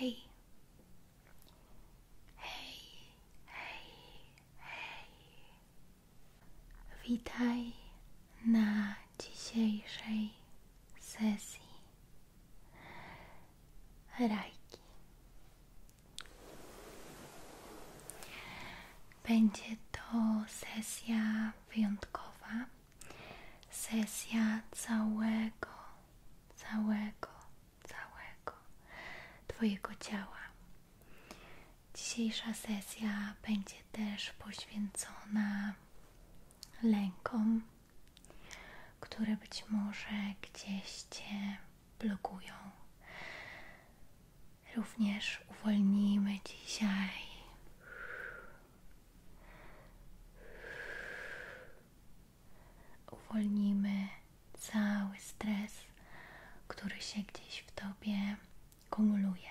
Hej, hej, hej, hej. Witaj na dzisiejszej sesji. Rajki. Będzie to sesja wyjątkowa, sesja całego, całego, całego Twojego ciała. Dzisiejsza sesja będzie też poświęcona lękom, które być może gdzieś Cię blokują. Również uwolnimy dzisiaj uwolnimy cały stres, który się gdzieś w tobie kumuluje.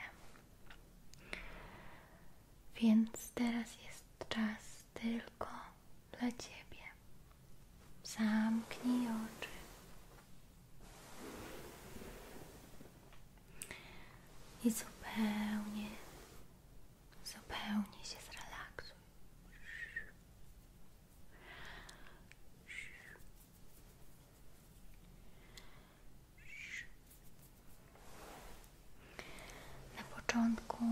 Więc teraz jest czas tylko dla Ciebie. Zamknij oczy. I zupełnie, zupełnie się zrelaksuj. Na początku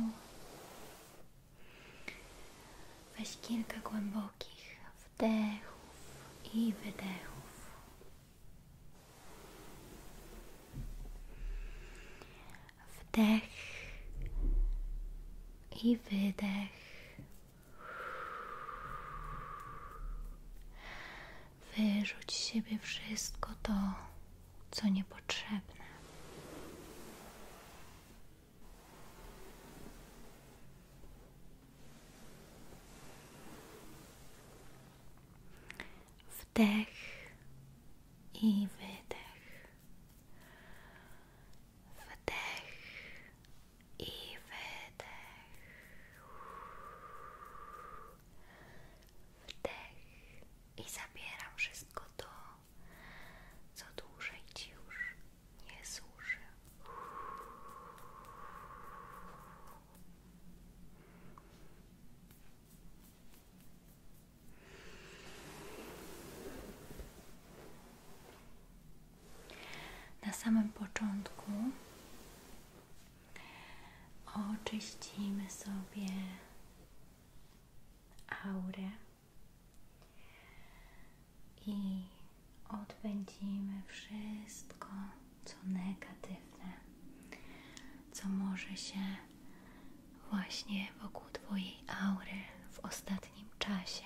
Weź kilka głębokich wdechów i wydechów. Wdech i wydech. Wyrzuć z siebie wszystko to, co niepotrzebne. Wdech i wydech. Wdech i wydech. Wdech i zabieram wszystko do co dłużej ci już nie służy. Na samym początku oczyścimy sobie aurę i odpędzimy wszystko, co negatywne, co może się właśnie wokół Twojej aury w ostatnim czasie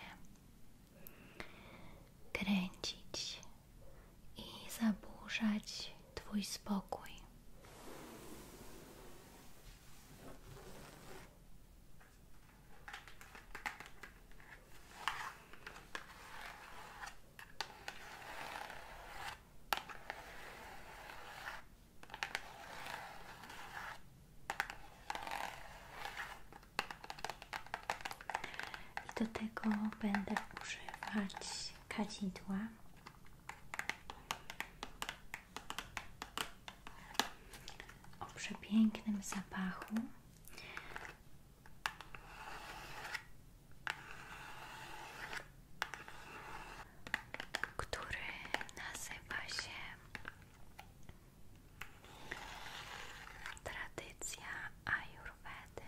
kręcić i zaburzać Twój spokój. I do tego będę używać kadzidła o przepięknym zapachu. Który nazywa się Tradycja Ajurwedy.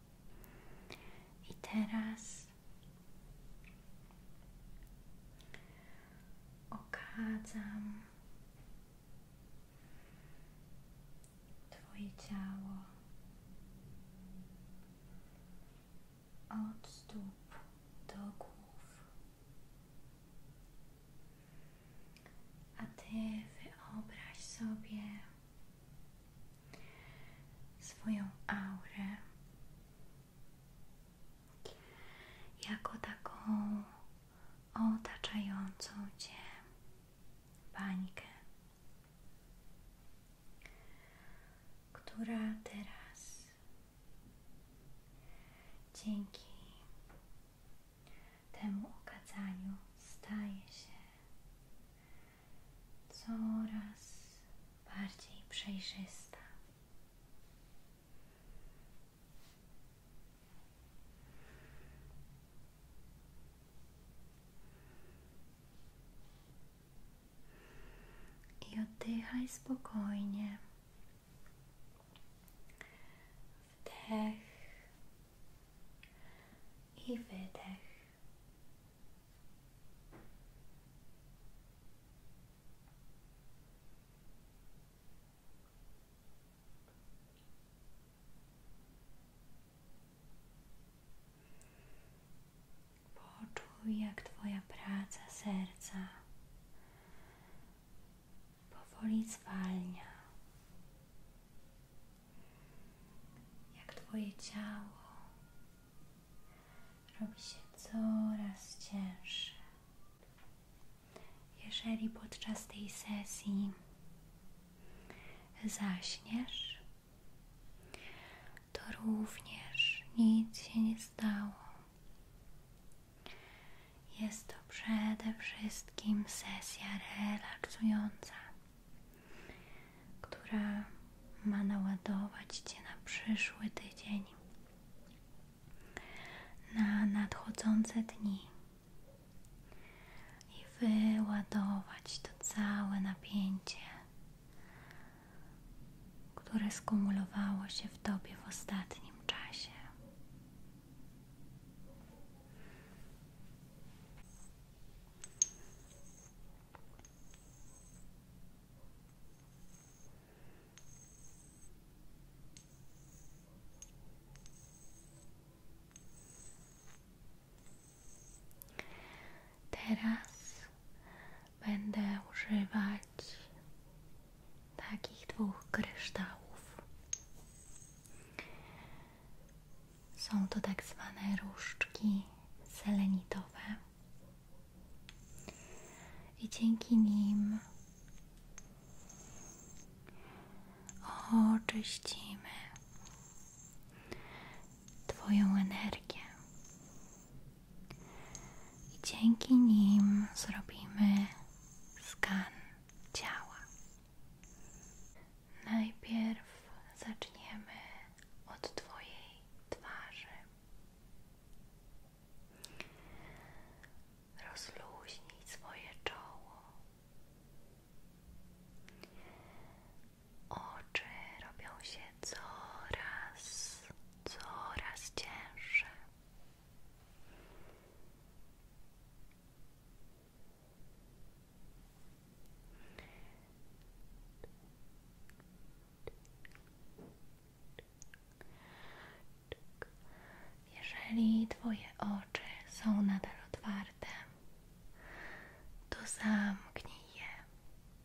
I teraz okadzam Twoje ciało od stóp do głów, a Ty wyobraź sobie swoją aurę jako taką otaczającą Cię bańkę, która teraz dzięki temu okazaniu staje się coraz bardziej przejrzysta. I oddychaj spokojnie. Wdech i wydech. Poczuj, jak Twoja praca serca powoli zwalnia jak Twoje ciało robi się coraz cięższe. Jeżeli podczas tej sesji zaśniesz, to również nic się nie stało. Jest to przede wszystkim sesja relaksująca, która ma naładować Cię na przyszły tydzień, na nadchodzące dni i wyładować to całe napięcie, które skumulowało się w Tobie w ostatnim czasie. Teraz będę używać takich dwóch kryształów. Są to tak zwane różdżki selenitowe i dzięki nim oczyścimy Twoją energię i dzięki nim zrobimy skan ciała. Najpierw zaczniemy od Twojej twarzy. Rozluźnij swoje czoło. Oczy robią się coraz, coraz cięższe. Jeżeli Twoje oczy są nadal otwarte, to zamknij je.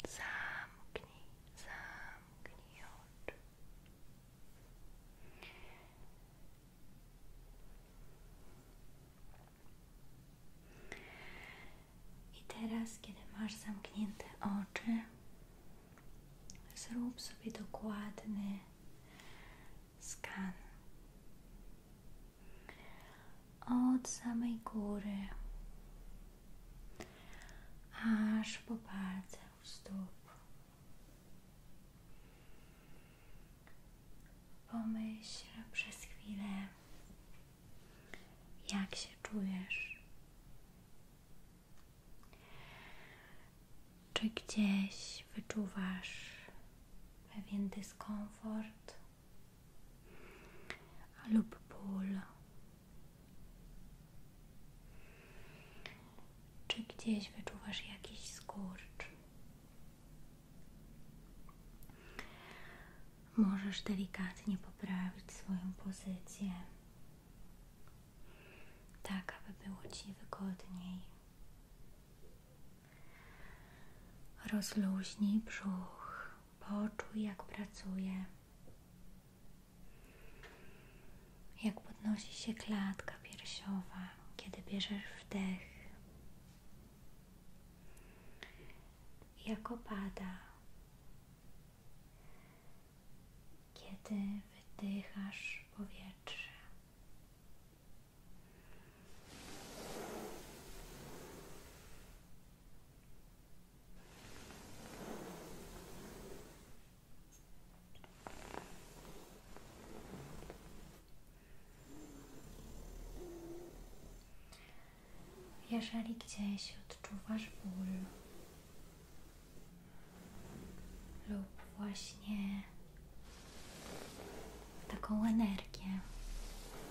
Zamknij, zamknij oczy. I teraz, kiedy masz zamknięte oczy, zrób sobie dokładny skan od samej góry aż po palce u stóp. Pomyśl przez chwilę, jak się czujesz. Czy gdzieś wyczuwasz pewien dyskomfort lub ból? Czy gdzieś wyczuwasz jakiś skurcz? Możesz delikatnie poprawić swoją pozycję, tak aby było Ci wygodniej. Rozluźnij brzuch, poczuj jak pracuje, jak podnosi się klatka piersiowa, kiedy bierzesz wdech jak opada. Kiedy wydychasz powietrze. Jeżeli gdzieś odczuwasz ból lub właśnie taką energię,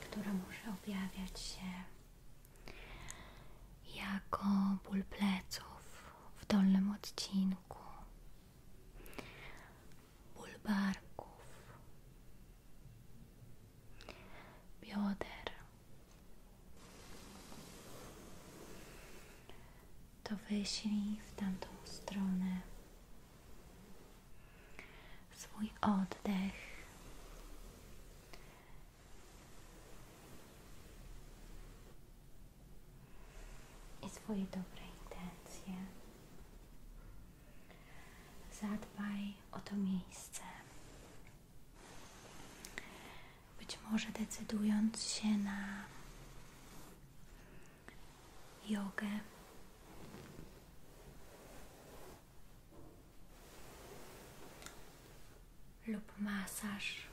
która może objawiać się jako ból pleców w dolnym odcinku, ból barków, bioder. To wyślij w tamtą stronę swój oddech. I swoje dobre intencje. Zadbaj o to miejsce. Być może decydując się na jogę, lub masaż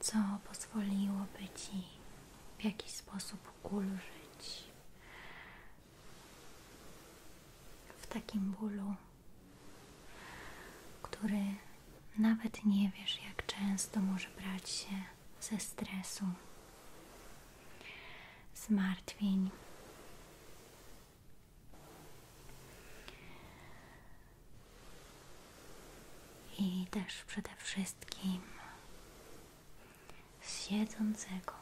co pozwoliłoby Ci w jakiś sposób kulżyć w takim bólu, który nawet nie wiesz, jak często może brać się ze stresu, zmartwień i też przede wszystkim z siedzącego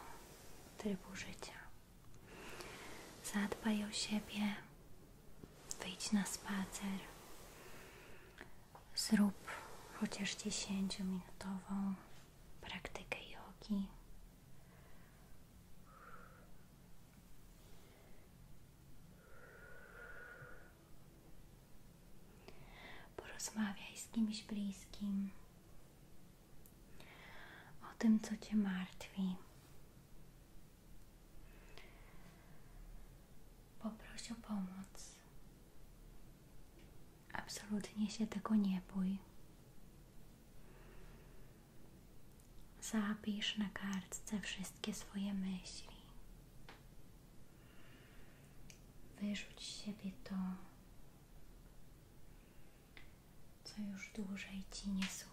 trybu życia. Zadbaj o siebie, wyjdź na spacer, zrób chociaż 10-minutową praktykę jogi. Porozmawiaj z kimś bliskim o tym, co Cię martwi. Poprosi o pomoc. Absolutnie się tego nie bój. Zapisz na kartce wszystkie swoje myśli. Wyrzuć z siebie to, co już dłużej ci nie służy.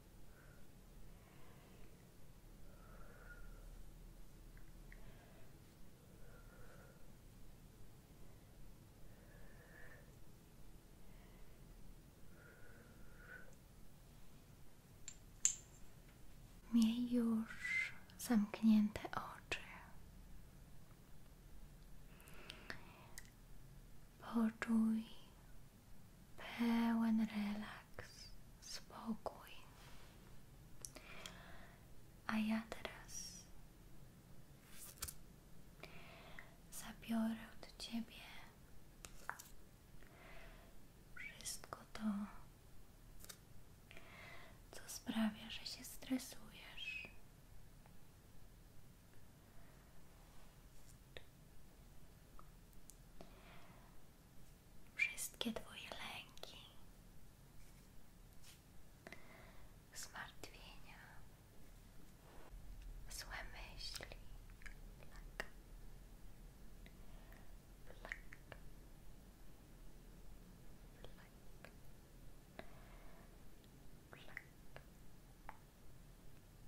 Miej już zamknięte oczy. Poczuj pełen relaks, spokój. A ja teraz zabiorę od Ciebie wszystko to, co sprawia, że się stresujesz. Wszystkie Twoje lęki, zmartwienia, złe myśli,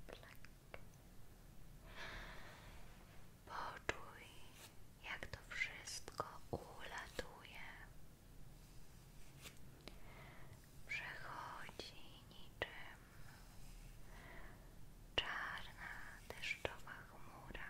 Plak. jak to wszystko ulatuje. Przechodzi niczym czarna deszczowa chmura.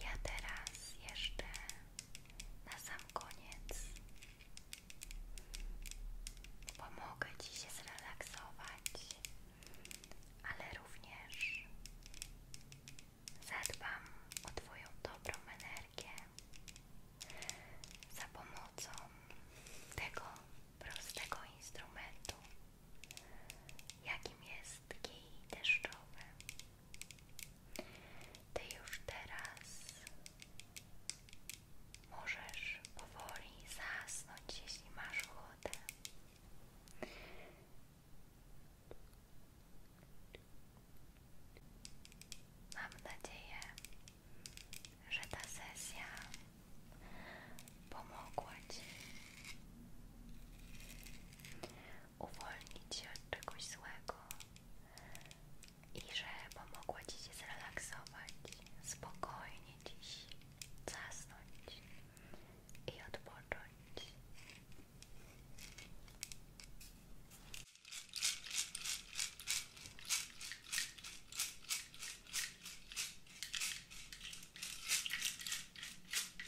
Ja teraz jeszcze na sam koniec pomogę Ci się zrelaksować, ale również zadbam o Twoją dobrą energię za pomocą tego prostego instrumentu jakim jest kij deszczowy. Ty już teraz możesz powoli zasnąć, jeśli masz ochotę. Mam nadzieję, że ta sesja pomogła Ci uwolnić się od czegoś złego i że pomogła Ci się zrelaksować, spokojnie dziś zasnąć i odpocząć.